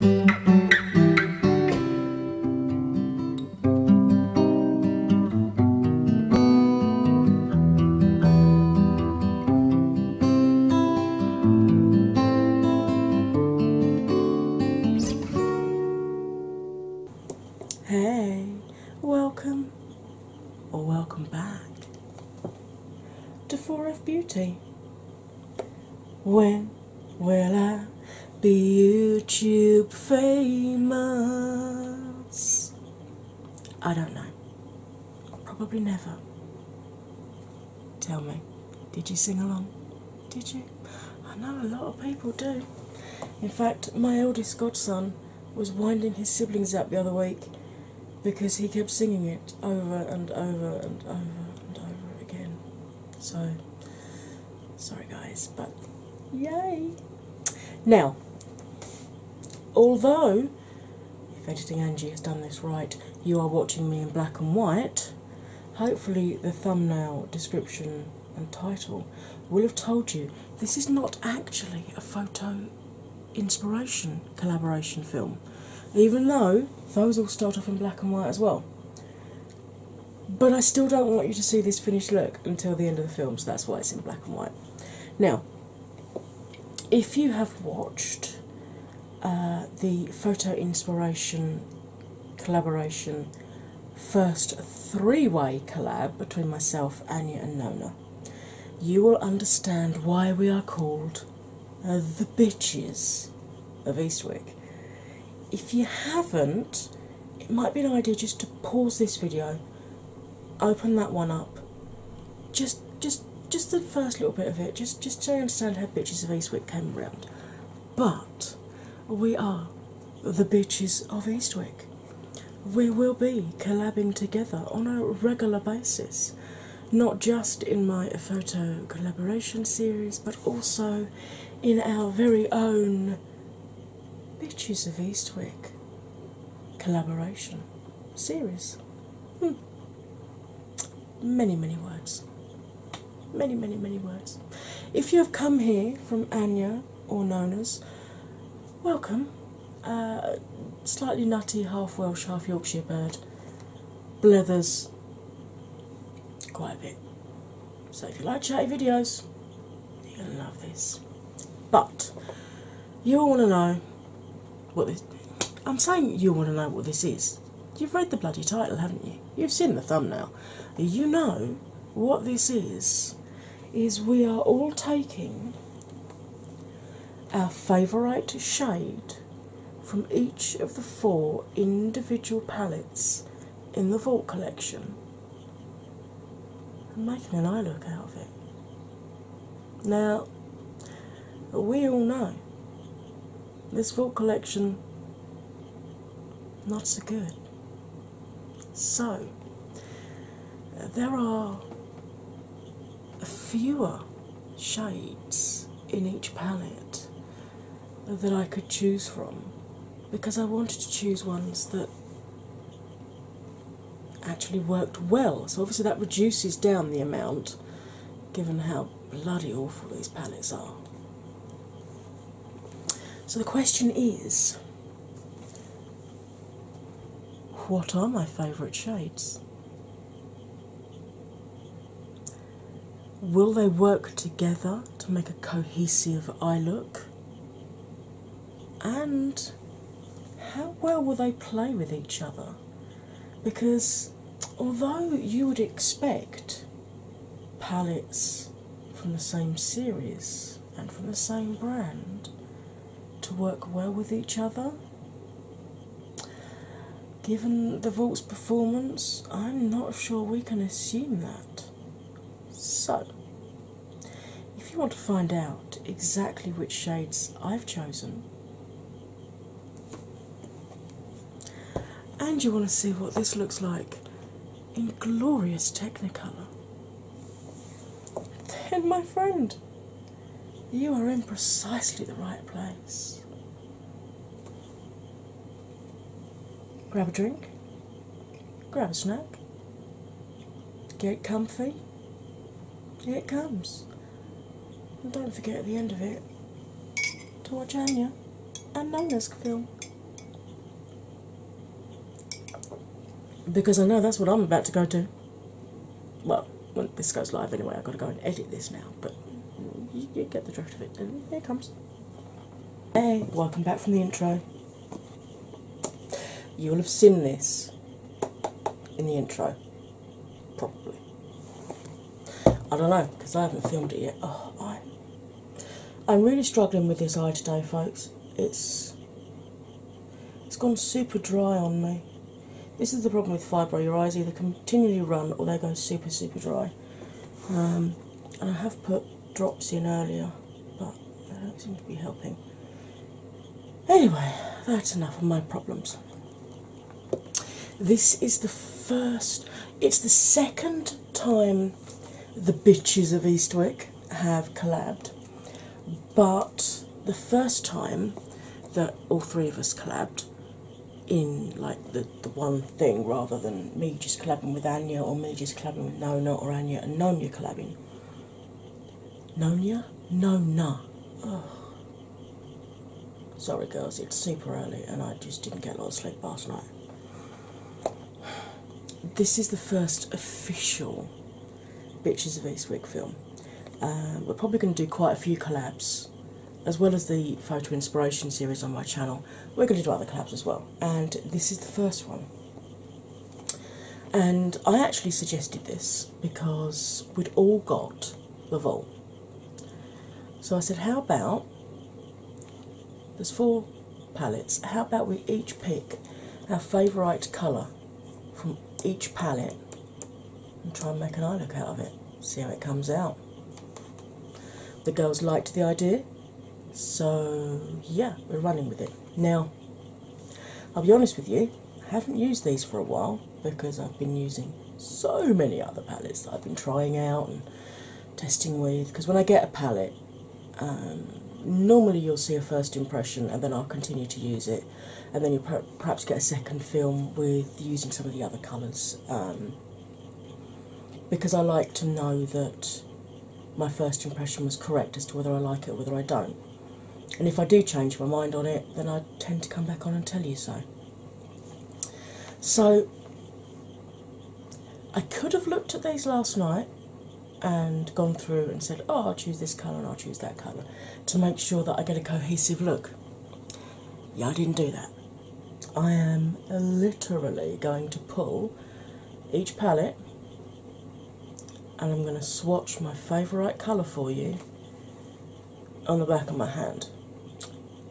Hey, welcome or welcome back to Four of Beauty. When will I be YouTube famous? I don't know. Probably never. Tell me, did you sing along? Did you? I know a lot of people do. In fact, my eldest godson was winding his siblings up the other week because he kept singing it over and over and over and over again. So, sorry guys, but yay! Now, although if Editing Angie has done this right, you are watching me in black and white, hopefully the thumbnail description and title will have told you this is not actually a photo inspiration collaboration film, even though those all start off in black and white as well. But I still don't want you to see this finished look until the end of the film, so that's why it's in black and white. Now, if you have watched uh, the Photo Inspiration collaboration first three way collab between myself, Anya, and Nona, you will understand why we are called uh, the Bitches of Eastwick. If you haven't, it might be an idea just to pause this video, open that one up, just just just the first little bit of it, just just to understand how Bitches of Eastwick came around. But we are the Bitches of Eastwick. We will be collabing together on a regular basis, not just in my photo collaboration series, but also in our very own Bitches of Eastwick collaboration series. Hmm. Many, many words. Many, many, many words. If you have come here from Anya or Nona's, welcome. Uh, slightly nutty, half Welsh, half Yorkshire bird, blathers quite a bit. So if you like chatty videos, you're gonna love this. But you all wanna know what this I'm saying you all wanna know what this is. You've read the bloody title, haven't you? You've seen the thumbnail. You know what this is is we are all taking our favourite shade from each of the four individual palettes in the Vault collection. and making an eye look out of it. Now, we all know this Vault collection not so good. So, there are fewer shades in each palette that I could choose from because I wanted to choose ones that actually worked well. So, obviously, that reduces down the amount given how bloody awful these palettes are. So, the question is what are my favourite shades? Will they work together to make a cohesive eye look? And how well will they play with each other? Because although you would expect palettes from the same series and from the same brand to work well with each other, Given the vault's performance, I'm not sure we can assume that. So, if you want to find out exactly which shades I've chosen, and you want to see what this looks like in glorious Technicolor, then, my friend, you are in precisely the right place. Grab a drink, grab a snack, get comfy. Here it comes. don't forget at the end of it to watch Anya and Nona's film. Because I know that's what I'm about to go to. Well, when this goes live anyway, I've got to go and edit this now, but you, get the drift of it, here it comes. Hey, welcome back from the intro. You will have seen this in the intro, probably. I don't know because I haven't filmed it yet. Oh, I, I'm really struggling with this eye today, folks. It's it's gone super dry on me. This is the problem with fibro. Your eyes either continually run or they go super super dry. Um, and I have put drops in earlier, but they don't seem to be helping. Anyway, that's enough of my problems. This is the first, it's the second time the bitches of Eastwick have collabed, but the first time that all three of us collabed in like the, the one thing rather than me just collabing with Anya or me just collabing with Nona or Anya and Nonya collabing. Nonya? No Oh. Sorry girls, it's super early and I just didn't get a lot of sleep last night. This is the first official Bitches of Eastwick film. Uh, we're probably going to do quite a few collabs as well as the photo inspiration series on my channel we're going to do other collabs as well, and this is the first one. And I actually suggested this because we'd all got the Vol. So I said, How about there's four palettes, how about we each pick our favourite colour from each palette and try and make an eye look out of it? see how it comes out. The girls liked the idea, so yeah, we're running with it. Now, I'll be honest with you, I haven't used these for a while because I've been using so many other palettes that I've been trying out and testing with. Because when I get a palette, um, normally you'll see a first impression and then I'll continue to use it, and then you'll perhaps get a second film with using some of the other colours. Um, because I like to know that my first impression was correct as to whether I like it or whether I don't. And if I do change my mind on it, then I tend to come back on and tell you so. So I could have looked at these last night and gone through and said, Oh, I'll choose this colour and I'll choose that colour to make sure that I get a cohesive look. Yeah, I didn't do that. I am literally going to pull each palette and I'm going to swatch my favourite colour for you on the back of my hand.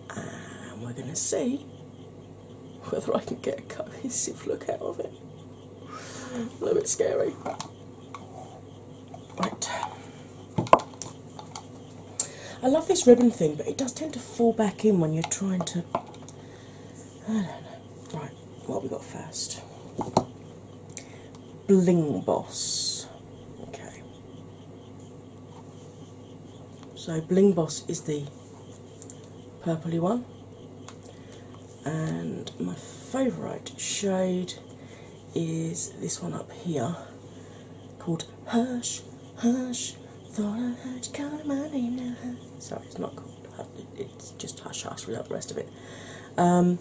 And we're going to see whether I can get a cohesive look out of it. A little bit scary. Right. I love this ribbon thing, but it does tend to fall back in when you're trying to. Right, what we got first? Bling Boss. Okay. So Bling Boss is the purpley one, and my favourite shade is this one up here, called Hush, Hush, Thought I Heard you Call My Name Now. Sorry, it's not called Hush, it's just Hush Hush without the rest of it. Um,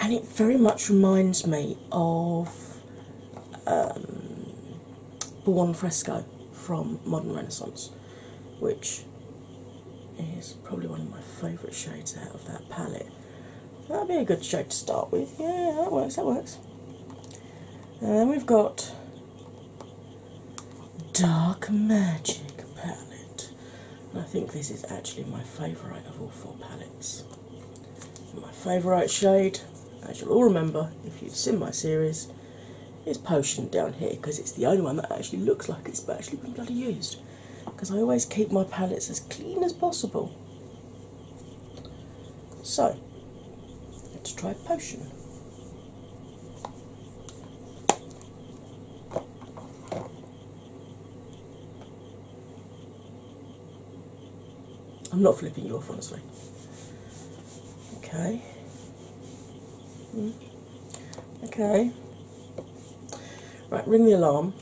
and it very much reminds me of um, Buon Fresco from Modern Renaissance, which is probably one of my favourite shades out of that palette. That'd be a good shade to start with. Yeah, that works, that works. And then we've got Dark Magic palette. I think this is actually my favourite of all four palettes. My favourite shade, as you'll all remember if you've seen my series, is Potion down here because it's the only one that actually looks like it's actually been bloody used. Because I always keep my palettes as clean as possible. So let's try a potion. I'm not flipping you off, honestly. Okay. Mm. Okay. Right, ring the alarm.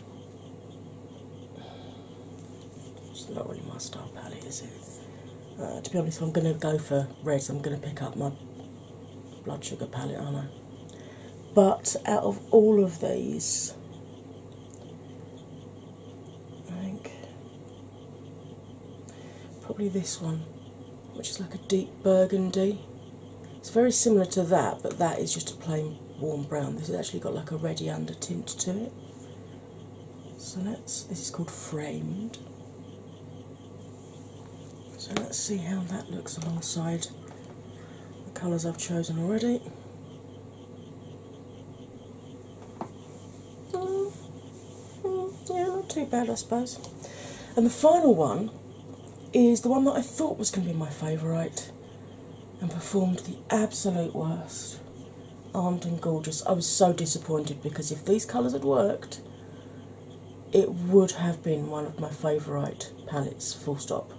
It's not really my style palette, is it? Uh, to be honest, I'm going to go for reds, I'm going to pick up my blood sugar palette, aren't I? But out of all of these, I think probably this one, which is like a deep burgundy. It's very similar to that, but that is just a plain warm brown. This has actually got like a reddy undertint to it. So let's, this is called framed. So let's see how that looks alongside the colours I've chosen already. Mm, mm, yeah, not too bad, I suppose. And the final one is the one that I thought was going to be my favourite and performed the absolute worst. Armed and Gorgeous. I was so disappointed because if these colours had worked, it would have been one of my favourite palettes, full stop.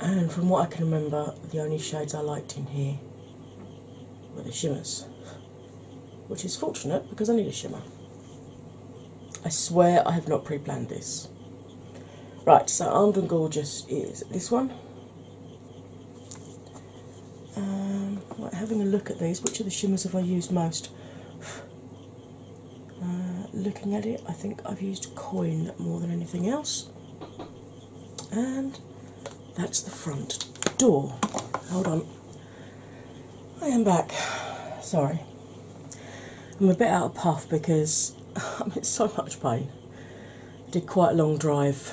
And from what I can remember, the only shades I liked in here were the shimmers, which is fortunate because I need a shimmer. I swear I have not pre planned this. Right, so Armed and Gorgeous is this one. Um, having a look at these, which of the shimmers have I used most? Uh, looking at it, I think I've used coin more than anything else. And that's the front door. Hold on. I am back. Sorry. I'm a bit out of puff because I'm in so much pain did quite a long drive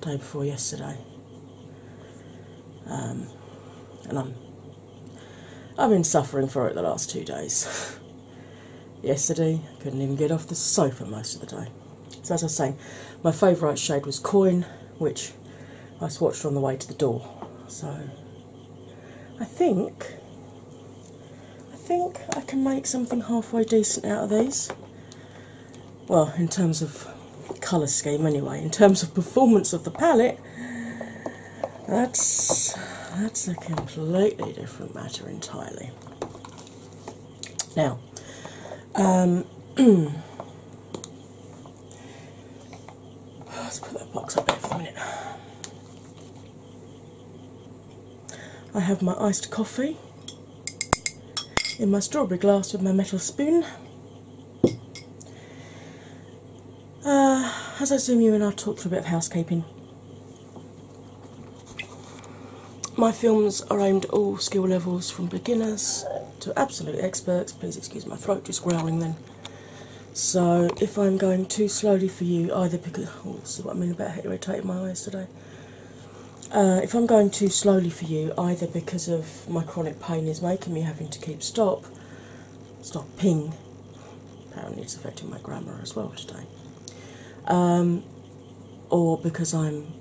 day before yesterday, um, and I'm I've been suffering for it the last two days. yesterday, I couldn't even get off the sofa most of the day. So as I was saying, my favourite shade was Coin, which I swatched on the way to the door. So I think I think I can make something halfway decent out of these well, in terms of colour scheme anyway, in terms of performance of the palette, that's that's a completely different matter entirely. Now, um, let's put that box up there for a minute. I have my iced coffee in my strawberry glass with my metal spoon. Uh, as I assume you in, I'll talk through a bit of housekeeping. My films are aimed at all skill levels from beginners to absolute experts. Please excuse my throat just growling then. So if I'm going too slowly for you, either because oh, this is what I mean about irritating my eyes today. Uh, if I'm going too slowly for you, either because of my chronic pain is making me having to keep stop, stop ping. apparently it's affecting my grammar as well today, um, or because I'm,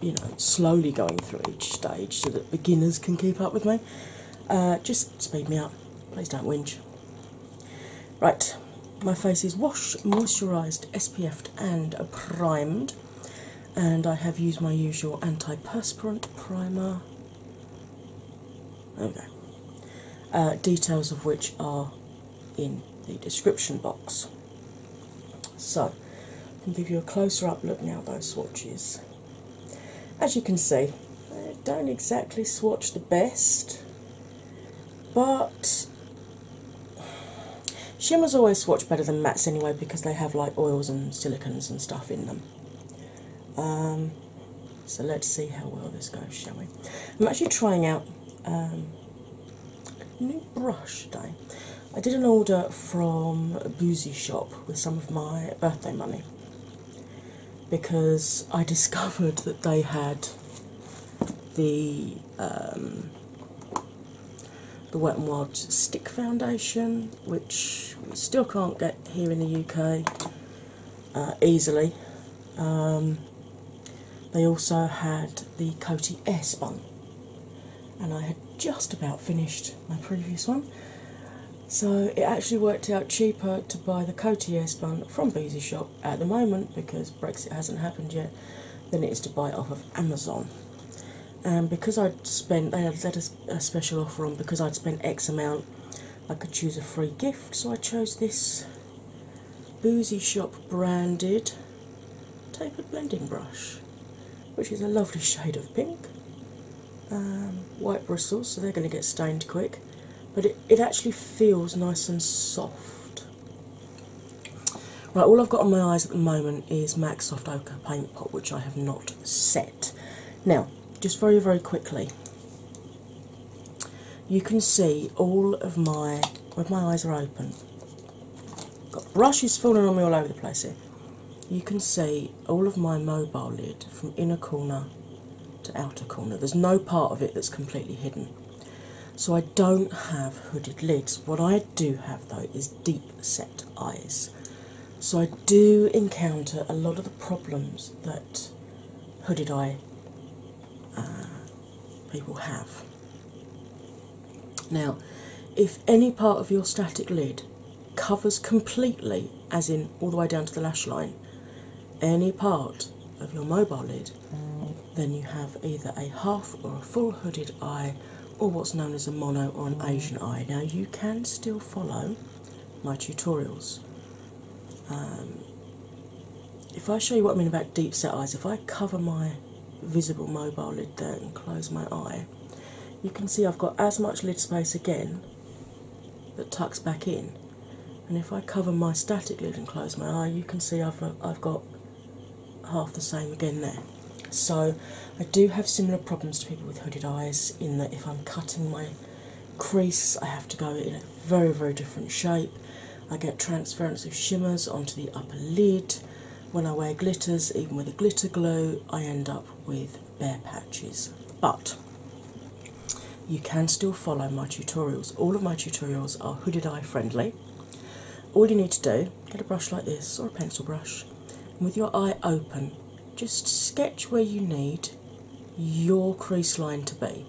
you know, slowly going through each stage so that beginners can keep up with me, uh, just speed me up. Please don't whinge. Right, my face is washed, moisturised, SPF'd, and primed. And I have used my usual anti-perspirant primer. There uh, details of which are in the description box. So, I can give you a closer up look now those swatches. As you can see, I don't exactly swatch the best, but Shimmers always swatch better than mattes anyway because they have like oils and silicones and stuff in them. Um, so let's see how well this goes, shall we? I'm actually trying out um, a new brush today. I did an order from a boozy shop with some of my birthday money because I discovered that they had the um, the Wet n Wild Stick Foundation, which we still can't get here in the UK uh, easily. Um, they also had the Coty Airspun, and I had just about finished my previous one, so it actually worked out cheaper to buy the Coty Airspun from Beezy Shop at the moment because Brexit hasn't happened yet than it is to buy it off of Amazon. And because I'd spent, they had let a special offer on because I'd spent X amount, I could choose a free gift. So I chose this Boozy Shop branded tapered blending brush, which is a lovely shade of pink. Um, white bristles, so they're going to get stained quick, but it, it actually feels nice and soft. Right, all I've got on my eyes at the moment is MAC Soft Ochre Paint Pot, which I have not set. Now, just very, very quickly, you can see all of my, when my eyes are open, got brushes falling on me all over the place here. You can see all of my mobile lid from inner corner to outer corner. There's no part of it that's completely hidden. So I don't have hooded lids. What I do have though is deep set eyes. So I do encounter a lot of the problems that hooded eye uh, people have. Now, if any part of your static lid covers completely, as in all the way down to the lash line, any part of your mobile lid uh, then you have either a half or a full hooded eye, or what's known as a mono or an Asian eye. Now, you can still follow my tutorials. Um, if I show you what I mean about deep set eyes, if I cover my visible mobile lid there and close my eye, you can see I've got as much lid space again that tucks back in. And if I cover my static lid and close my eye, you can see I've, I've got half the same again there. So, I do have similar problems to people with hooded eyes in that if I'm cutting my crease, I have to go in a very, very different shape. I get transference of shimmers onto the upper lid. When I wear glitters, even with a glitter glow, I end up with bare patches. But you can still follow my tutorials. All of my tutorials are hooded eye friendly. All you need to do, get a brush like this or a pencil brush, and with your eye open, just sketch where you need your crease line to be.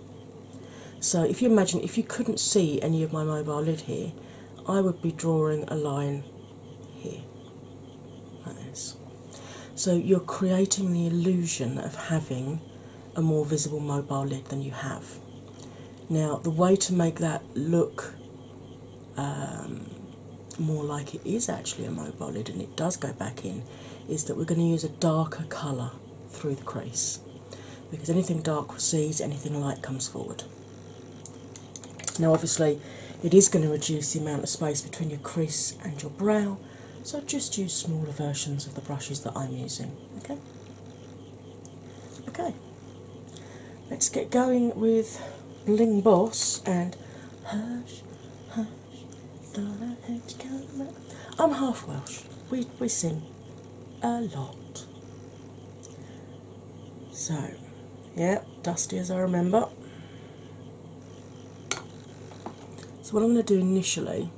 So, if you imagine, if you couldn't see any of my mobile lid here, I would be drawing a line here, like this. So, you're creating the illusion of having a more visible mobile lid than you have. Now, the way to make that look um, more like it is actually a mobile lid and it does go back in is that we're going to use a darker colour through the crease because anything dark recedes, anything light comes forward. Now, obviously, it is going to reduce the amount of space between your crease and your brow, so just use smaller versions of the brushes that I'm using. Okay. Okay. Let's get going with Bling Boss and Hush, Hush, Thought I Heard You Come I'm half Welsh. We, we sing a lot. So, yeah, dusty as I remember. So, what I'm going to do initially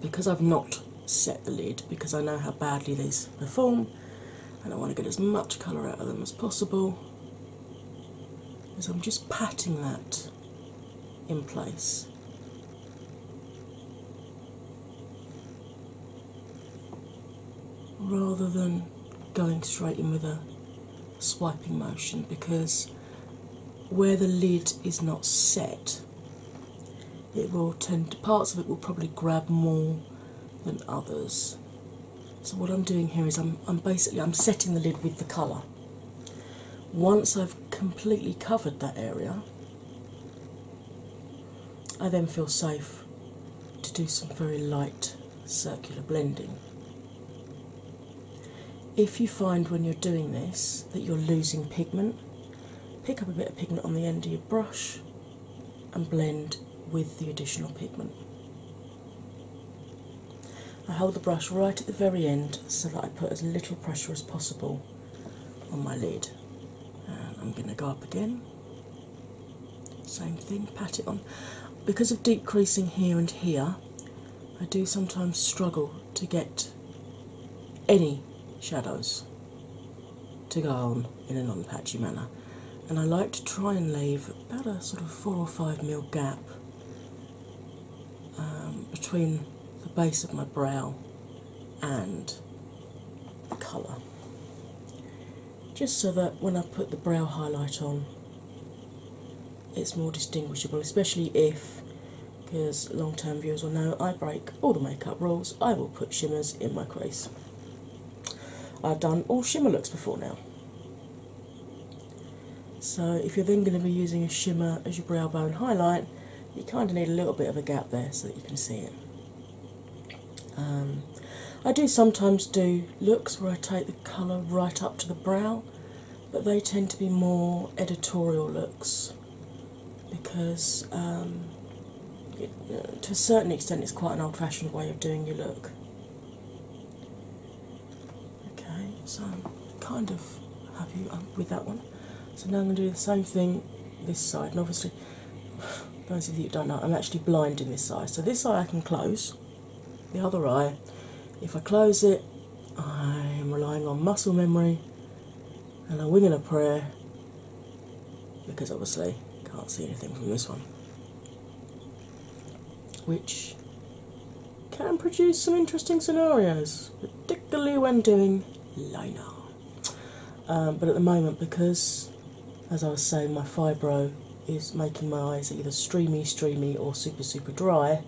because I've not set the lid because I know how badly these perform and I want to get as much colour out of them as possible. So I'm just patting that in place. Rather than going straight in with a swiping motion because where the lid is not set, it will tend to parts of it will probably grab more than others. So what I'm doing here is I'm I'm basically I'm setting the lid with the colour. Once I've completely covered that area, I then feel safe to do some very light circular blending. If you find when you're doing this that you're losing pigment, pick up a bit of pigment on the end of your brush and blend with the additional pigment. I hold the brush right at the very end so that I put as little pressure as possible on my lid. I'm going to go up again. Same thing, pat it on. Because of deep creasing here and here, I do sometimes struggle to get any shadows to go on in a non patchy manner. And I like to try and leave about a sort of four or five mil gap um, between the base of my brow and the colour, just so that when I put the brow highlight on, it's more distinguishable, especially if, because long term viewers will know, I break all the makeup rules. I will put shimmers in my crease. I've done all shimmer looks before now. So, if you're then going to be using a shimmer as your brow bone highlight, you kind of need a little bit of a gap there so that you can see it. Um, I do sometimes do looks where I take the colour right up to the brow, but they tend to be more editorial looks because um, to a certain extent it's quite an old fashioned way of doing your look. Okay, so I'm kind of happy uh, with that one. So now I'm going to do the same thing this side, and obviously, those of you who don't know, I'm actually blind in this eye. So this eye I can close, the other eye, if I close it, I'm relying on muscle memory and I'm winging to pray because obviously can't see anything from this one, which can produce some interesting scenarios, particularly when doing liner. Um, but at the moment, because as I was saying, my fibro is making my eyes either streamy, streamy, or super, super dry.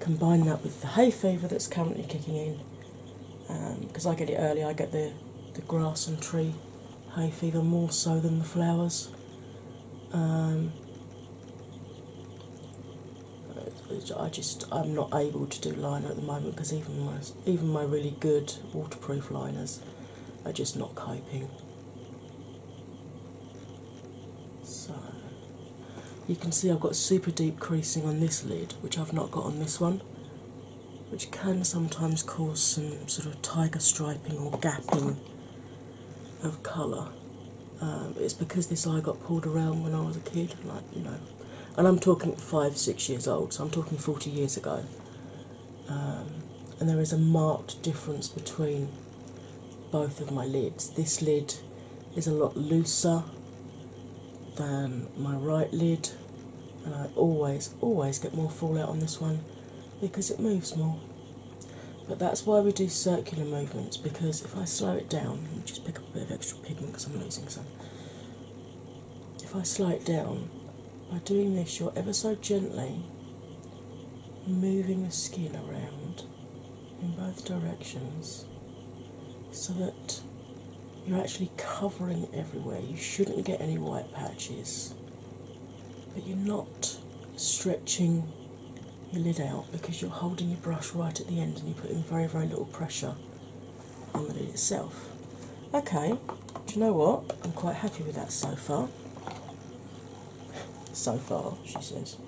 Combine that with the hay fever that's currently kicking in, because um, I get it early. I get the the grass and tree hay fever more so than the flowers. Um, I just I'm not able to do liner at the moment because even my even my really good waterproof liners are just not coping. So you can see I've got super deep creasing on this lid, which I've not got on this one which can sometimes cause some sort of tiger striping or gapping of colour. Um, it's because this eye got pulled around when I was a kid, like you know, and I'm talking five, six years old, so I'm talking 40 years ago. Um, and there is a marked difference between both of my lids. This lid is a lot looser than my right lid, and I always, always get more fallout on this one because it moves more. But that's why we do circular movements because if I slow it down, just pick up a bit of extra pigment because I'm losing some. If I slow it down, by doing this, you're ever so gently moving the skin around in both directions so that you're actually covering everywhere. You shouldn't get any white patches, but you're not stretching your lid out because you're holding your brush right at the end and you're putting very, very little pressure on the lid itself. Okay, do you know what? I'm quite happy with that so far. So far, she says.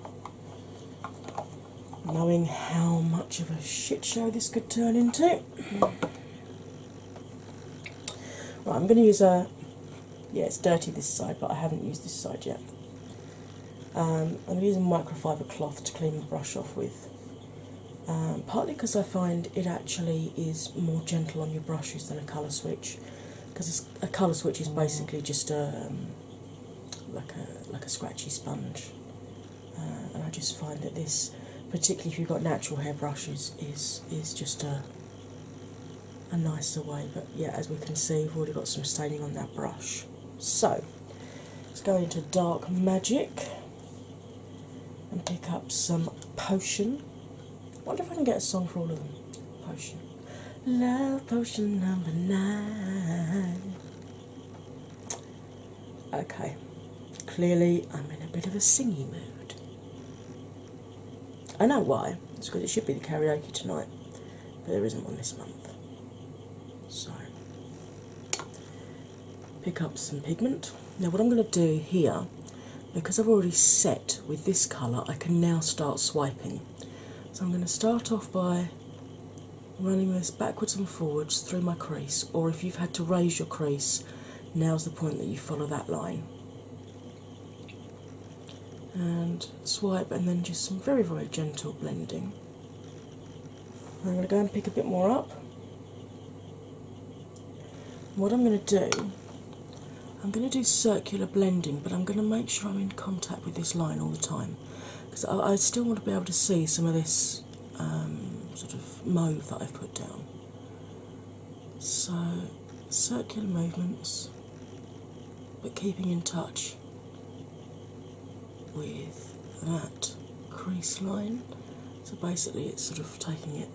Knowing how much of a shit show this could turn into, I'm going to use a. Yeah, it's dirty this side, but I haven't used this side yet. Um, I'm using microfiber cloth to clean the brush off with. Um, partly because I find it actually is more gentle on your brushes than a colour switch, because a colour switch is basically just a um, like a like a scratchy sponge. Uh, and I just find that this, particularly if you've got natural hairbrushes, is is just a a nicer way. But yeah, as we can see, we've already got some staining on that brush. So let's go into Dark Magic and pick up some Potion. wonder if I can get a song for all of them. Potion. Love potion number nine. Okay, clearly I'm in a bit of a singy mood. I know why, it's because it should be the karaoke tonight, but there isn't one this month. So, pick up some pigment. Now, what I'm going to do here, because I've already set with this colour, I can now start swiping. So, I'm going to start off by running this backwards and forwards through my crease, or if you've had to raise your crease now's the point that you follow that line. And swipe, and then just some very, very gentle blending. I'm going to go and pick a bit more up. What I'm going to do, I'm going to do circular blending, but I'm going to make sure I'm in contact with this line all the time because I still want to be able to see some of this um, sort of mauve that I've put down. So, circular movements, but keeping in touch with that crease line. So, basically, it's sort of taking it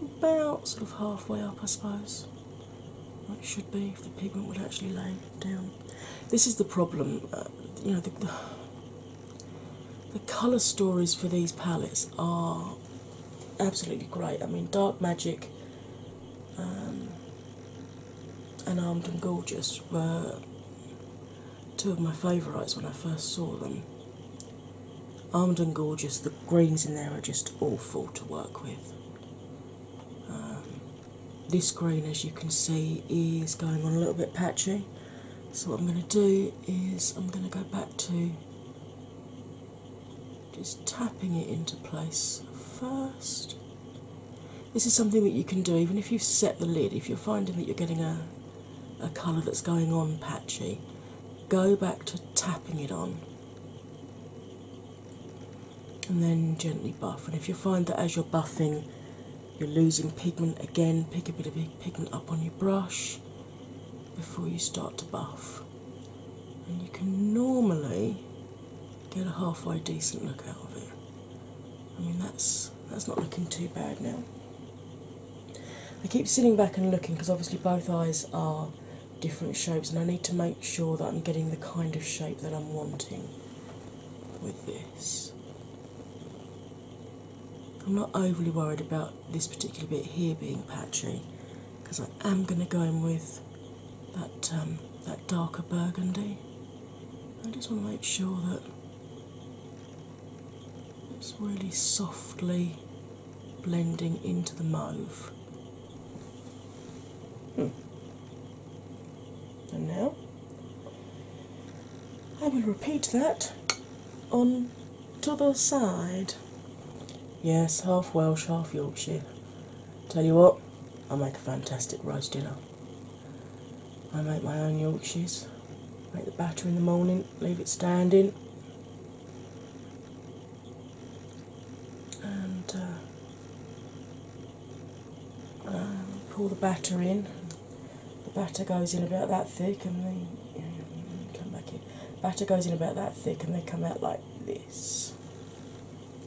about sort of halfway up, I suppose. It should be if the pigment would actually lay down. This is the problem, uh, you know, the colour stories for these palettes are absolutely great. I mean, Dark Magic um, and Armed and Gorgeous were two of my favourites when I first saw them. Armed and Gorgeous, the greens in there are just awful to work with. Um, this green, as you can see, is going on a little bit patchy. So, what I'm going to do is I'm going to go back to just tapping it into place first. This is something that you can do even if you have set the lid, if you're finding that you're getting a, a colour that's going on patchy, go back to tapping it on and then gently buff. And if you find that as you're buffing, you're losing pigment again, pick a bit of pigment up on your brush before you start to buff. And you can normally get a halfway decent look out of it. I mean that's that's not looking too bad now. I keep sitting back and looking because obviously both eyes are different shapes and I need to make sure that I'm getting the kind of shape that I'm wanting with this. I'm not overly worried about this particular bit here being patchy because I am going to go in with that um, that darker burgundy. I just want to make sure that it's really softly blending into the mauve. Hmm. And now I will repeat that on t'other side. Yes, half Welsh, half Yorkshire. Tell you what, I make a fantastic roast dinner. I make my own Yorkshires, make the batter in the morning, leave it standing, and uh, pour the batter in the batter goes in about that thick, and they come back in. Batter goes in about that thick, and they come out like this.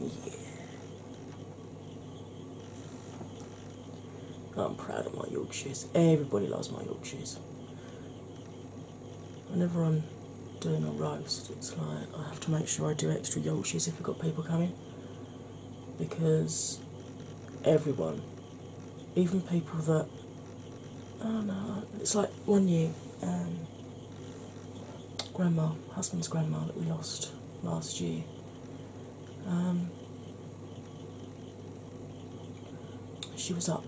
Yeah. I'm proud of my Yorkshires. Everybody loves my Yorkshires. Whenever I'm doing a roast, it's like I have to make sure I do extra Yorkshires if we've got people coming because everyone even people that oh no, it's like one year um, grandma, husband's grandma that we lost last year. Um, she was up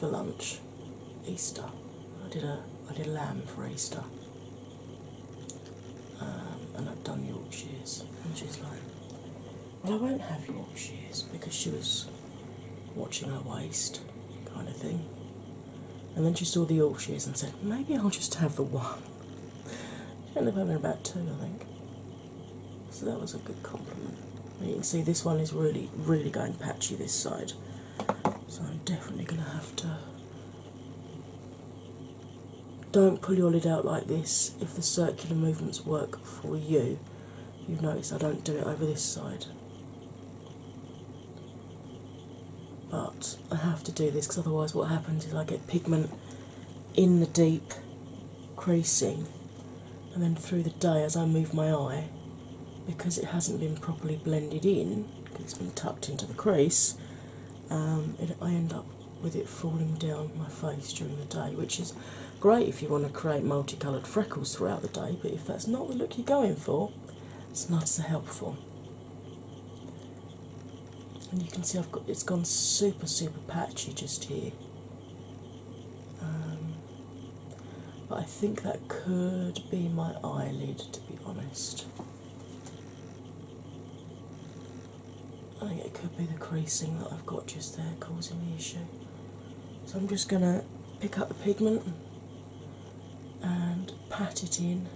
for lunch, Easter. I did a I did a lamb for Easter, um, and i have done Yorkshire. and she's like, and I won't have your Yorkshire's because she was watching her waist kind of thing. And then she saw the Yorkshire's and said, Maybe I'll just have the one. She ended up having about two, I think. So that was a good compliment. And you can see this one is really, really going patchy this side. So I'm definitely going to have to. Don't pull your lid out like this if the circular movements work for you. You've noticed I don't do it over this side. But I have to do this because otherwise, what happens is I get pigment in the deep creasing, and then through the day, as I move my eye, because it hasn't been properly blended in, because it's been tucked into the crease, um, I end up with it falling down my face during the day, which is great if you want to create multicoloured freckles throughout the day, but if that's not the look you're going for, it's not so helpful. And you can see I've got it's gone super super patchy just here. Um, but I think that could be my eyelid to be honest. I think it could be the creasing that I've got just there causing the issue. So I'm just going to pick up the pigment and pat it in,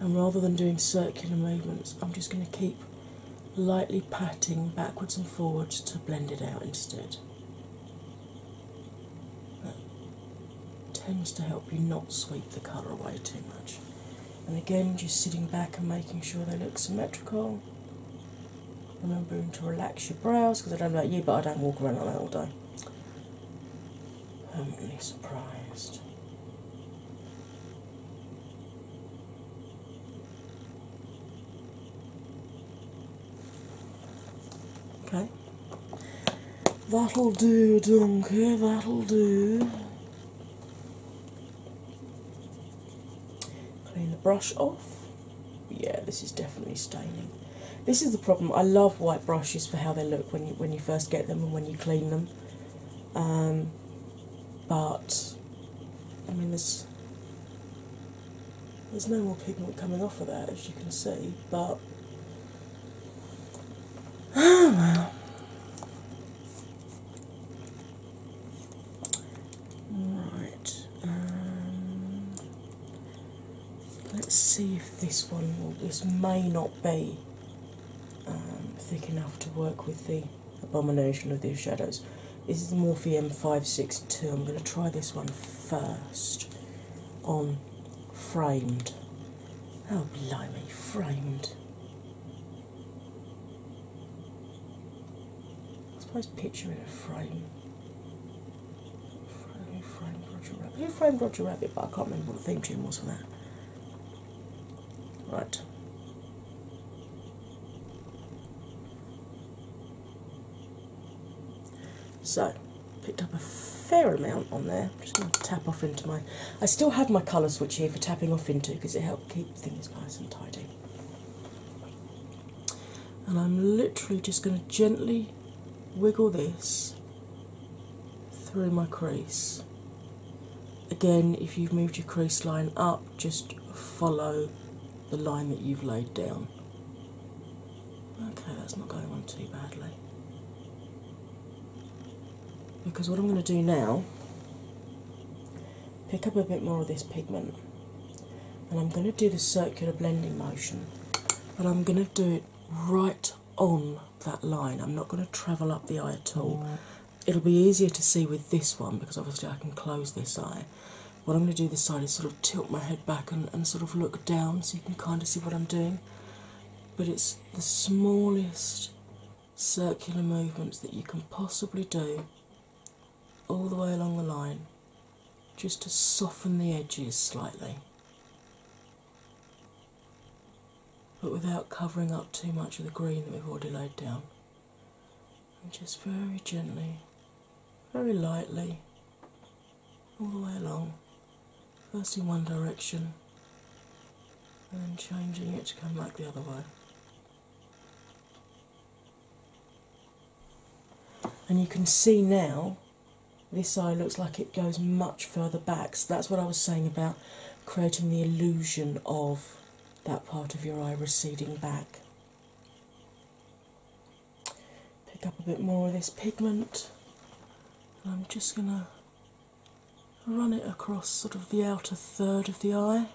and rather than doing circular movements, I'm just going to keep lightly patting backwards and forwards to blend it out instead. That tends to help you not sweep the colour away too much. And again, just sitting back and making sure they look symmetrical. Remembering to relax your brows because I don't know you, but I don't walk around like that all day. Permanently surprised. Okay. That'll do, Dunker. that'll do. Clean the brush off. Yeah, this is definitely staining. This is the problem. I love white brushes for how they look when you when you first get them and when you clean them. Um, but I mean, there's there's no more pigment coming off of that, as you can see. But oh well. Right, um, let's see if this one This may not be um, thick enough to work with the abomination of these shadows. This is the Morphe M562. I'm going to try this one first on framed. Oh, blimey, framed. I suppose picture in a frame. Frame, frame, Roger Rabbit. Who framed Roger Rabbit? But I can't remember what the theme tune was for that. Right. So, picked up a fair amount on there. I'm just going to tap off into my. I still have my colour switch here for tapping off into because it helps keep things nice and tidy. And I'm literally just going to gently wiggle this through my crease. Again, if you've moved your crease line up, just follow the line that you've laid down. Okay, that's not going on too badly. Because what I'm going to do now pick up a bit more of this pigment, and I'm going to do the circular blending motion, but I'm going to do it right on that line. I'm not going to travel up the eye at all. It'll be easier to see with this one because obviously I can close this eye. What I'm going to do this side is sort of tilt my head back and sort of look down so you can kind of see what I'm doing. But it's the smallest circular movements that you can possibly do all the way along the line just to soften the edges slightly, but without covering up too much of the green that we've already laid down. And just very gently, very lightly, all the way along, first in one direction and then changing it to come back the other way. And you can see now this eye looks like it goes much further back. So that's what I was saying about creating the illusion of that part of your eye receding back. Pick up a bit more of this pigment, and I'm just going to run it across sort of the outer third of the eye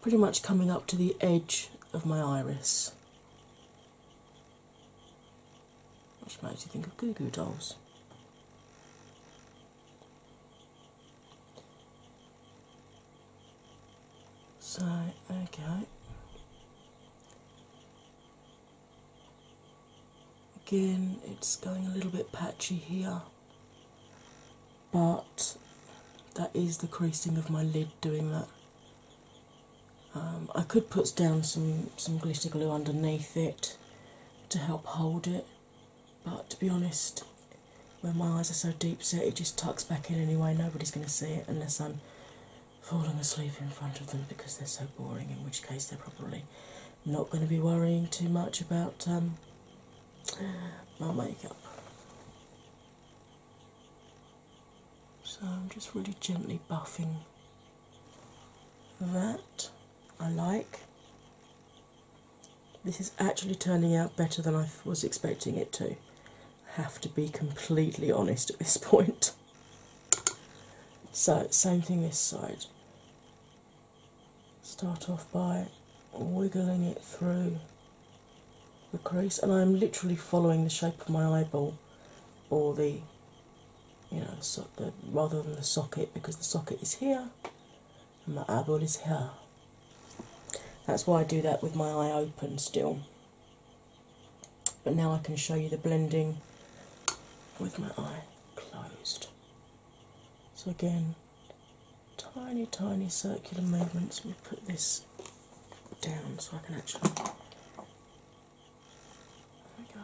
pretty much coming up to the edge of my iris. Which makes you think of Goo Goo Dolls. So, okay. Again, it's going a little bit patchy here but that is the creasing of my lid doing that. Um, I could put down some, some glitter glue underneath it to help hold it, but to be honest, when my eyes are so deep set, it just tucks back in anyway. Nobody's going to see it unless I'm falling asleep in front of them because they're so boring, in which case they're probably not going to be worrying too much about um, my makeup. So I'm just really gently buffing that. I like. This is actually turning out better than I was expecting it to. I have to be completely honest at this point. So, same thing this side. Start off by wiggling it through the crease, and I'm literally following the shape of my eyeball or the you know, rather than the socket because the socket is here and my eyeball is here. That's why I do that with my eye open still. But now I can show you the blending with my eye closed. So, again, tiny, tiny circular movements. Let put this down so I can actually. There we go.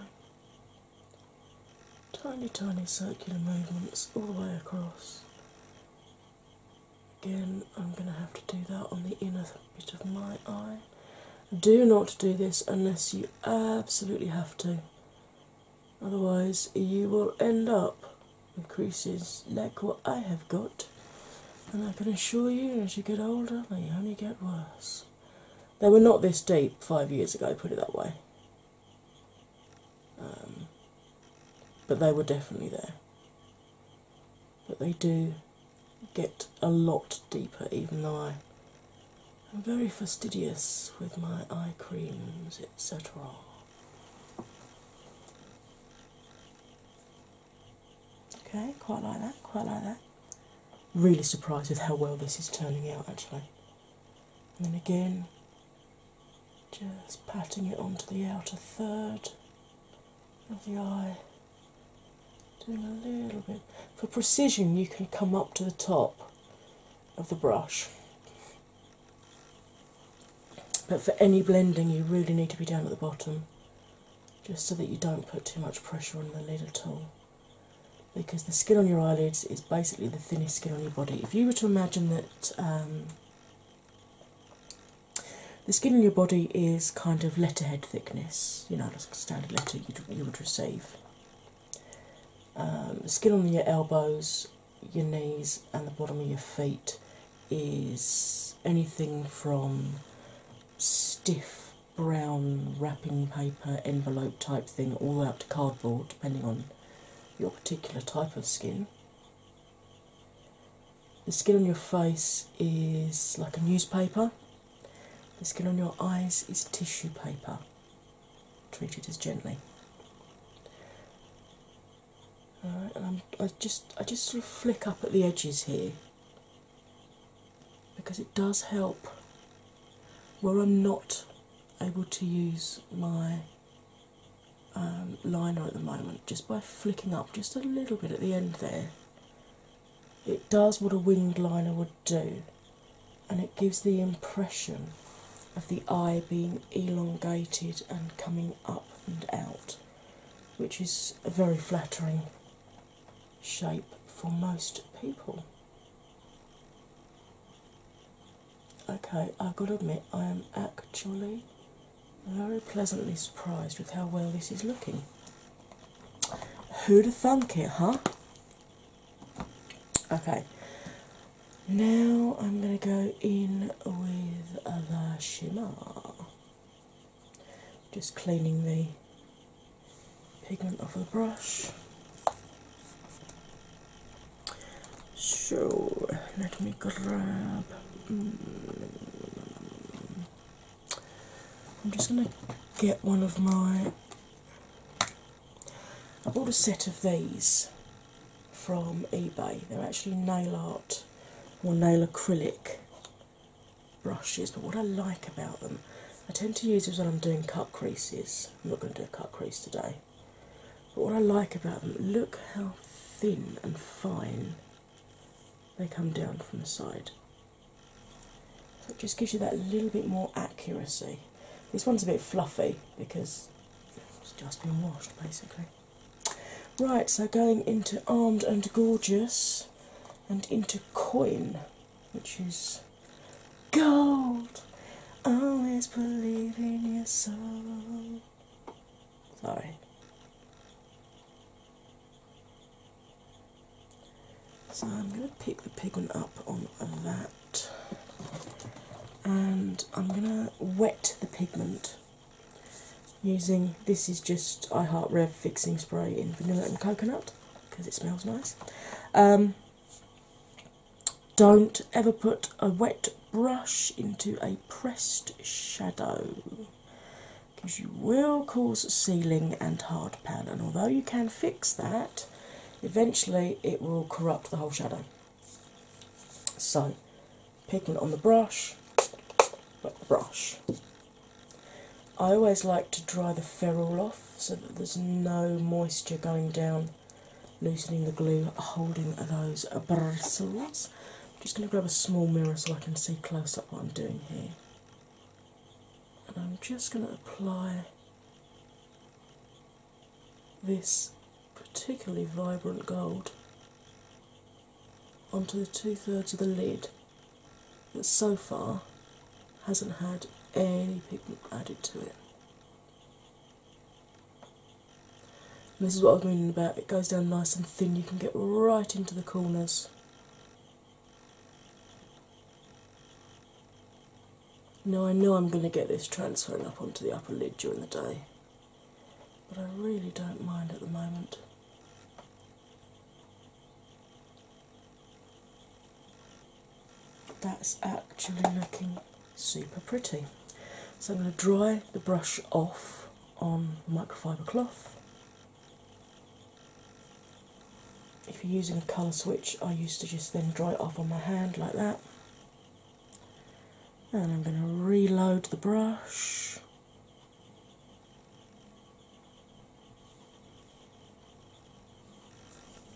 Tiny, tiny circular movements all the way across. Again, I'm going to have to do that on the inner bit of my eye. Do not do this unless you absolutely have to, otherwise, you will end up Increases like what I have got, and I can assure you, as you get older, they only get worse. They were not this deep five years ago, put it that way, um, but they were definitely there. But they do get a lot deeper, even though I am very fastidious with my eye creams, etc. Okay, quite like that, quite like that. Really surprised with how well this is turning out actually. And then again, just patting it onto the outer third of the eye. Doing a little bit. For precision, you can come up to the top of the brush but for any blending, you really need to be down at the bottom just so that you don't put too much pressure on the lid at all. Because the skin on your eyelids is basically the thinnest skin on your body. If you were to imagine that um, the skin on your body is kind of letterhead thickness, you know, like a standard letter you would receive. Um, skin on your elbows your knees and the bottom of your feet is anything from stiff brown wrapping paper envelope type thing all the way up to cardboard depending on your particular type of skin. The skin on your face is like a newspaper. The skin on your eyes is tissue paper, Treat it as gently i just I just sort of flick up at the edges here because it does help where I'm not able to use my um, liner at the moment. Just by flicking up just a little bit at the end there, it does what a winged liner would do, and it gives the impression of the eye being elongated and coming up and out which is a very flattering shape for most people. Okay, I've got to admit, I am actually very pleasantly surprised with how well this is looking. Who'd have thunk it, huh? Okay, now I'm going to go in with a shimmer just cleaning the pigment off the brush. So let me grab. Mm, I'm just going to get one of my. I bought a set of these from eBay. They're actually nail art or nail acrylic brushes, but what I like about them, I tend to use these when I'm doing cut creases. I'm not going to do a cut crease today. But what I like about them, look how thin and fine they come down from the side. it just gives you that little bit more accuracy. This one's a bit fluffy because it's just been washed basically. Right, so going into Armed and Gorgeous and into Coin, which is gold. Always believe in your soul. Sorry. So I'm going to pick the pigment up on that and I'm going to wet the pigment using this is just I Heart Rev fixing spray in vanilla and coconut because it smells nice. Um, don't ever put a wet brush into a pressed shadow because you will cause sealing and hard pan, and although you can fix that, eventually it will corrupt the whole shadow. So, picking on the brush, wet the brush. I always like to dry the ferrule off so that there's no moisture going down, loosening the glue, holding those bristles. I'm just going to grab a small mirror so I can see close up what I'm doing here. And I'm just going to apply this particularly vibrant gold onto the two thirds of the lid that so far hasn't had any pigment added to it. this is what I was meaning about, it goes down nice and thin, you can get right into the corners. Now I know I'm going to get this transferring up onto the upper lid during the day but I really don't mind at the moment. That's actually looking super pretty. So I'm going to dry the brush off on microfiber cloth. If you're using a colour switch, I used to just then dry it off on my hand like that. And I'm going to reload the brush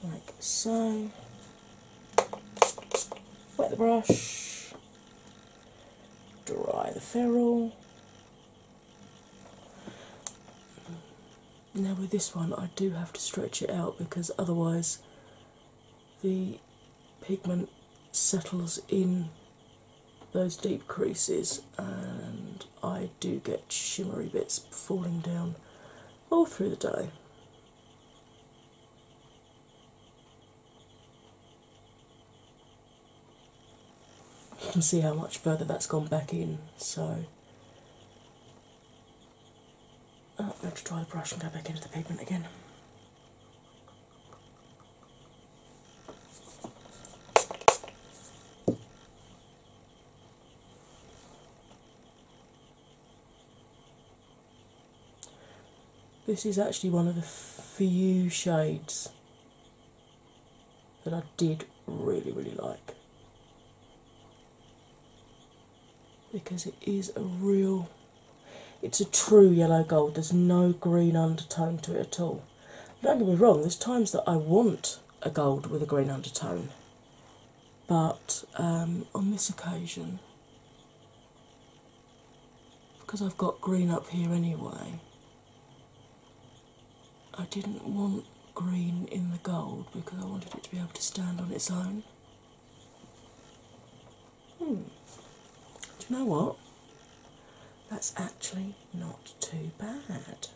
like so. Wet the brush, dry the ferrule. Now, with this one, I do have to stretch it out because otherwise the pigment settles in those deep creases, and I do get shimmery bits falling down all through the day. You can see how much further that's gone back in, so I'm going to try the brush and go back into the pigment again. This is actually one of the few shades that I did really, really like because it is a real it's a true yellow gold, there's no green undertone to it at all. Don't get me wrong, there's times that I want a gold with a green undertone, but um, on this occasion, because I've got green up here anyway, I didn't want green in the gold because I wanted it to be able to stand on its own. Hmm. Do you know what? That's actually not too bad.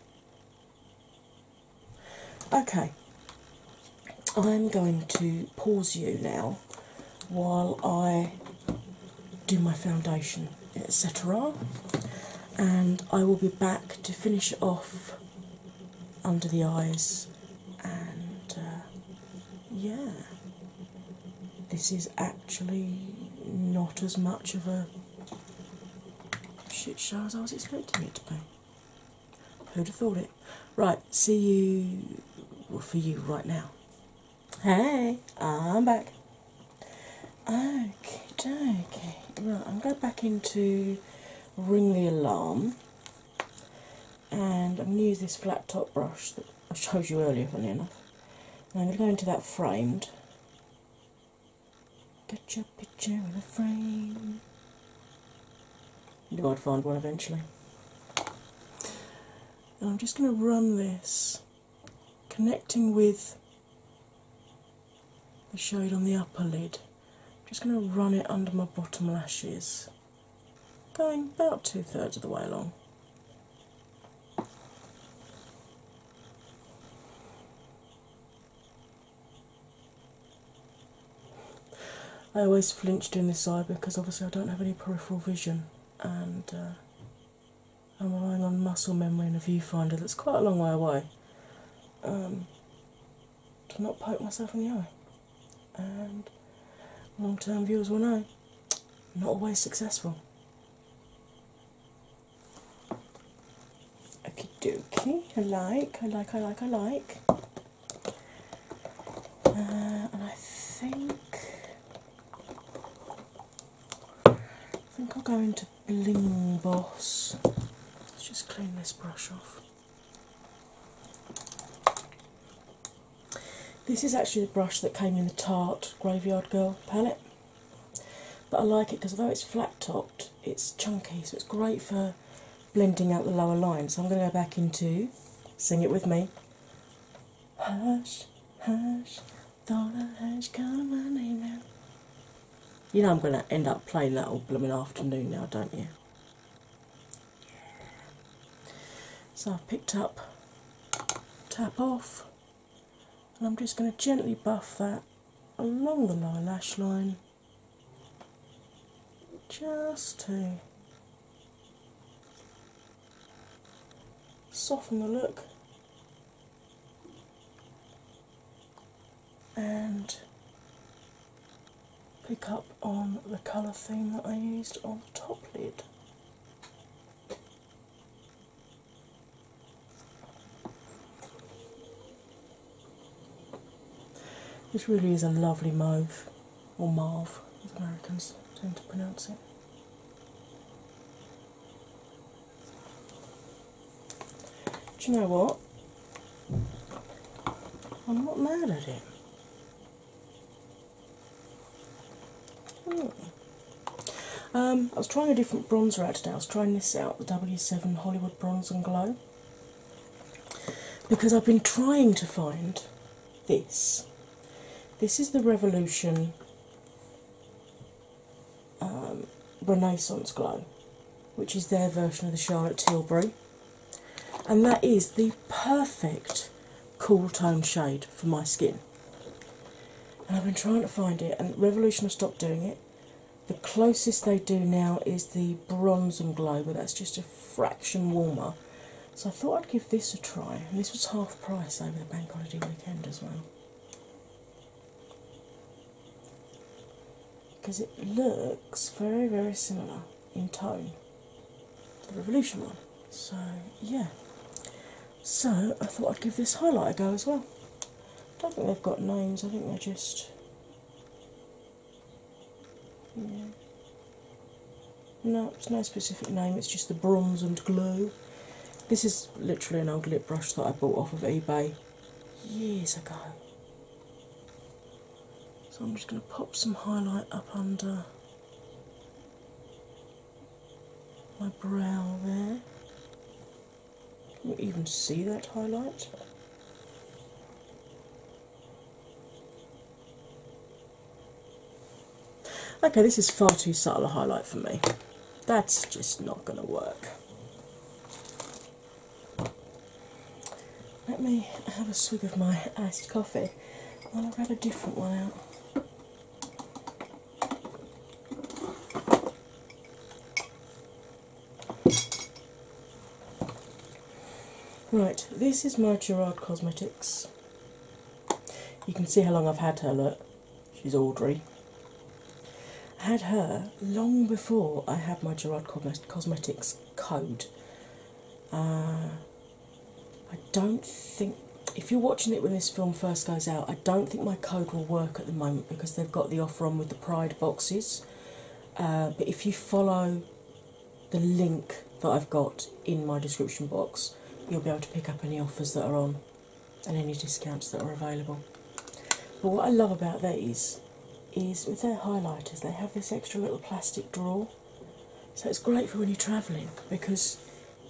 Okay, I'm going to pause you now while I do my foundation, etc. And I will be back to finish off under the eyes and uh, yeah, this is actually not as much of a shit show as I was expecting it to be. Who'd have thought it? Right, see you for you right now. Hey, I'm back. Okay, okay. Right, I'm going back into ring the alarm and I'm going to use this flat top brush I showed you earlier, funny enough. I'm going to go into that framed. Get your picture in a frame. You might find one eventually. And I'm just going to run this, connecting with the shade on the upper lid. I'm just going to run it under my bottom lashes, going about two thirds of the way along. I always flinch in this eye because obviously I don't have any peripheral vision and uh, I'm relying on muscle memory and a viewfinder that's quite a long way away um, to not poke myself in the eye. And long term viewers will know not always successful. Okie dokie, I like, I like, I like, I like. Uh, and I think I think I'll go into Bling Boss. Let's just clean this brush off. This is actually the brush that came in the Tarte Graveyard Girl palette, but I like it because although it's flat topped, it's chunky, so it's great for blending out the lower line. So I'm going to go back into sing it with me. Hush, hush, thought I heard you calling my name now. You know I'm going to end up playing that old blooming afternoon now, don't you? So I've picked up tap off, and I'm just going to gently buff that along the lower lash line just to soften the look and pick up on the colour theme that I used on the top lid. This really is a lovely mauve, or mauve as Americans tend to pronounce it. Do you know what? I'm not mad at it. Hmm. Um, I was trying a different bronzer out today. I was trying this out, the W7 Hollywood Bronze and Glow, because I've been trying to find this. This is the Revolution um, Renaissance Glow, which is their version of the Charlotte Tilbury, and that is the perfect cool tone shade for my skin. And I've been trying to find it, and Revolution have stopped doing it. The closest they do now is the Bronze and Glow, but that's just a fraction warmer. So I thought I'd give this a try, this was half price over the bank holiday weekend as well. Because it looks very, very similar in tone the Revolution one. So, yeah. So, I thought I'd give this highlight a go as well. I don't think they've got names, I think they're just. No, it's no specific name, it's just the bronze and glue. This is literally an old lip brush that I bought off of eBay years ago. So I'm just going to pop some highlight up under my brow there. Can you even see that highlight? Okay, this is far too subtle a highlight for me. That's just not going to work. Let me have a swig of my iced coffee and I'll grab a different one out. Right, this is my Gerard Cosmetics. You can see how long I've had her, look. She's Audrey. I had her long before I had my Gerard Cosmetics code. Uh, I don't think if you're watching it when this film first goes out, I don't think my code will work at the moment because they've got the offer on with the Pride boxes. Uh, but if you follow the link that I've got in my description box, you'll be able to pick up any offers that are on and any discounts that are available. But what I love about these is with their highlighters, they have this extra little plastic drawer. So it's great for when you're travelling because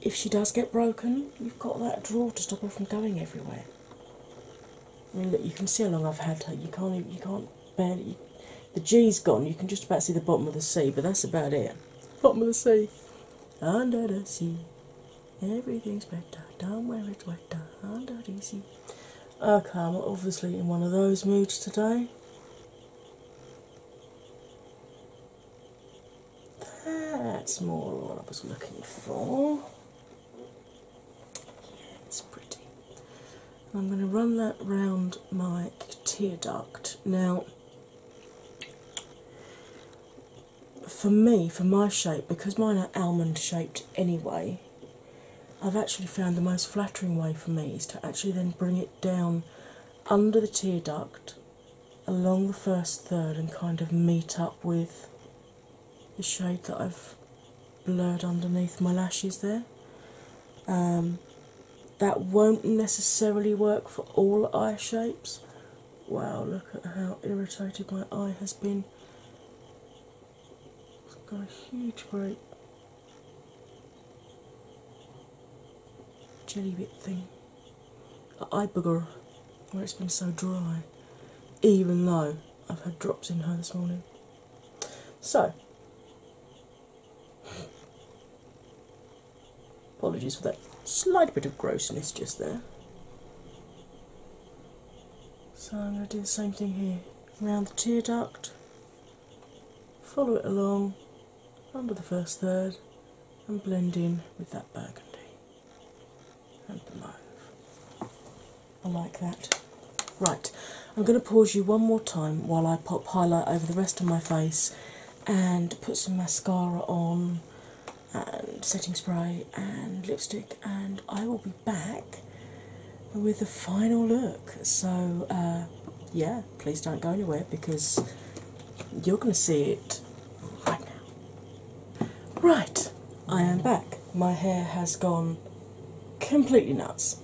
if she does get broken, you've got that drawer to stop her from going everywhere. I mean, look, you can see how long I've had her. You can't, even, you can't the G's gone. You can just about see the bottom of the sea, but that's about it. Bottom of the sea, under the sea, everything's better down where it's wetter under the sea. Okay, oh, I'm obviously in one of those moods today. That's more what I was looking for. it's pretty. I'm going to run that round my tear duct. Now, for me, for my shape, because mine are almond shaped anyway, I've actually found the most flattering way for me is to actually then bring it down under the tear duct along the first third and kind of meet up with the shade that I've blurred underneath my lashes there. Um, that won't necessarily work for all eye shapes. Wow, look at how irritated my eye has been. It's got a huge, great jelly bit thing at Iberger, where it's been so dry, even though I've had drops in her this morning. So, apologies for that slight bit of grossness just there. So, I'm going to do the same thing here around the tear duct, follow it along, Rumble the first third and blend in with that burgundy and the mauve. I like that. Right, I'm going to pause you one more time while I pop highlight over the rest of my face and put some mascara on and setting spray and lipstick, and I will be back with the final look. So, uh, yeah, Please don't go anywhere because you're going to see it right now. Right, I am back. My hair has gone completely nuts.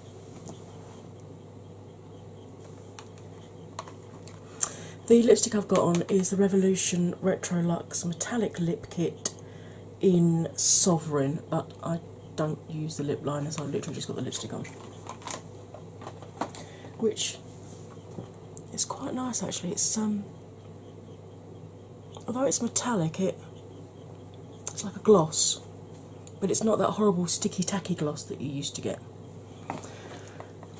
The lipstick I've got on is the Revolution Retro Luxe Metallic Lip Kit in Sovereign, but I don't use the lip liner, so I've literally just got the lipstick on. Which it's quite nice actually. It's um, although it's metallic, it it's like a gloss, but it's not that horrible sticky tacky gloss that you used to get.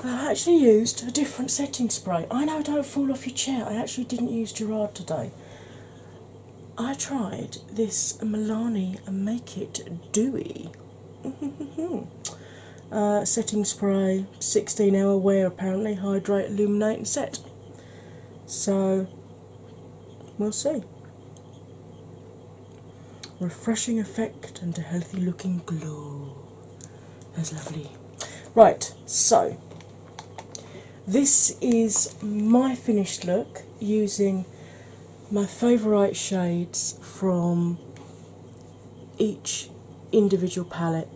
I actually used a different setting spray. I know, don't fall off your chair. I actually didn't use Gerard today. I tried this Milani Make It Dewy Uh, setting spray, 16 hour wear apparently, hydrate, illuminate, and set. So we'll see. Refreshing effect and a healthy looking glow. That's lovely. Right, so this is my finished look using my favourite shades from each individual palette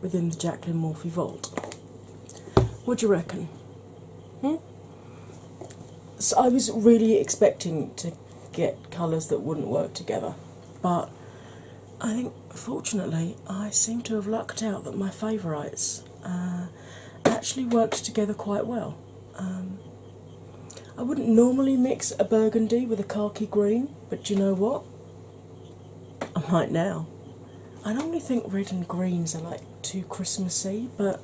within the Jacqueline Morphy vault. What do you reckon? Hmm? So I was really expecting to get colours that wouldn't work together, but I think fortunately I seem to have lucked out that my favourites uh, actually worked together quite well. Um, I wouldn't normally mix a burgundy with a khaki green, but do you know what? I might now. I normally think red and greens are like too Christmassy, but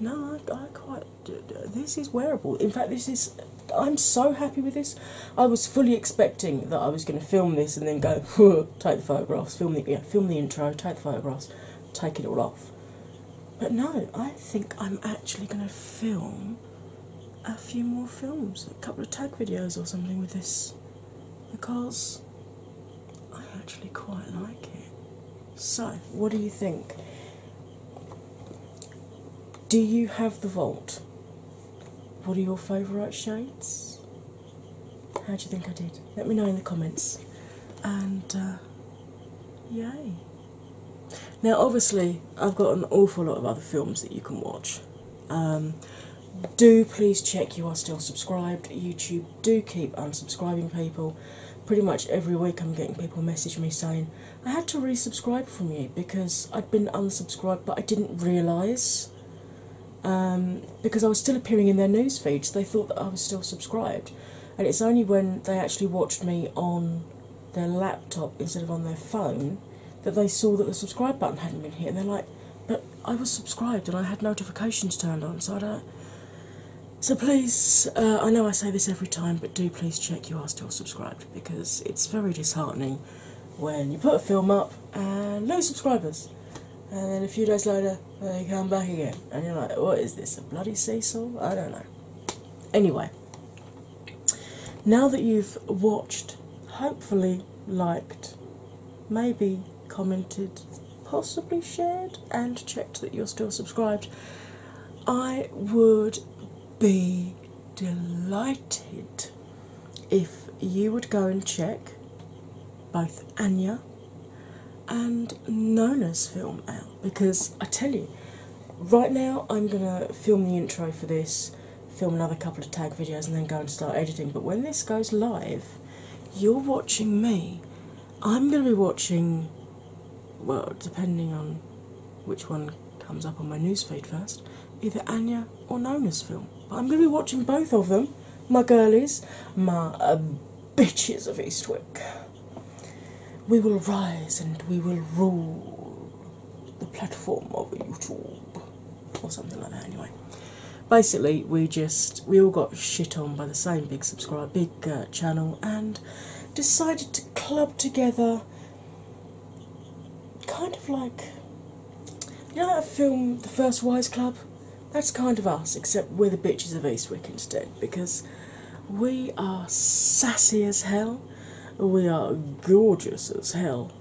no, I, I quite. This is wearable. In fact, this is. I'm so happy with this. I was fully expecting that I was going to film this and then go take the photographs, film the yeah, film the intro, take the photographs, take it all off. But no, I think I'm actually going to film a few more films, a couple of tag videos or something with this because I actually quite like it. So, what do you think? Do you have the vault? What are your favourite shades? How do you think I did? Let me know in the comments. And uh, yay! Now, obviously, I've got an awful lot of other films that you can watch. Um, do please check you are still subscribed. YouTube do keep unsubscribing people. Pretty much every week, I'm getting people message me saying, I had to resubscribe from you because I'd been unsubscribed, but I didn't realise. Um, because I was still appearing in their news feeds, they thought that I was still subscribed and it's only when they actually watched me on their laptop instead of on their phone that they saw that the subscribe button hadn't been hit and they're like but i was subscribed and i had notifications turned on so i don't so please uh, i know i say this every time but do please check you are still subscribed because it's very disheartening when you put a film up and no subscribers and then a few days later they come back again and you're like what is this a bloody seesaw i don't know anyway now that you've watched, hopefully liked, maybe commented, possibly shared, and checked that you're still subscribed, I would be delighted if you would go and check both Anya and Nona's film out because I tell you, right now I'm gonna film the intro for this, film another couple of tag videos, and then go and start editing. But when this goes live, you're watching me. I'm gonna be watching, well, depending on which one comes up on my newsfeed first, either Anya or Nona's film. But I'm gonna be watching both of them, my girlies, my uh, bitches of Eastwick. We will rise and we will rule the platform of YouTube or something like that. Anyway, basically, we just we all got shit on by the same big subscribe, big uh, channel, and decided to club together, kind of like you know that film, The First Wives Club. That's kind of us, except we're the bitches of Eastwick instead, because we are sassy as hell. We are gorgeous as hell.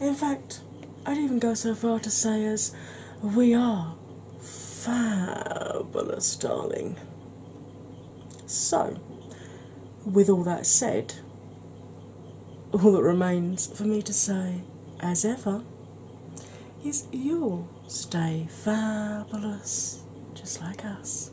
In fact, I'd even go so far to say as we are fabulous, darling. So, with all that said, all that remains for me to say, as ever, is you'll stay fabulous just like us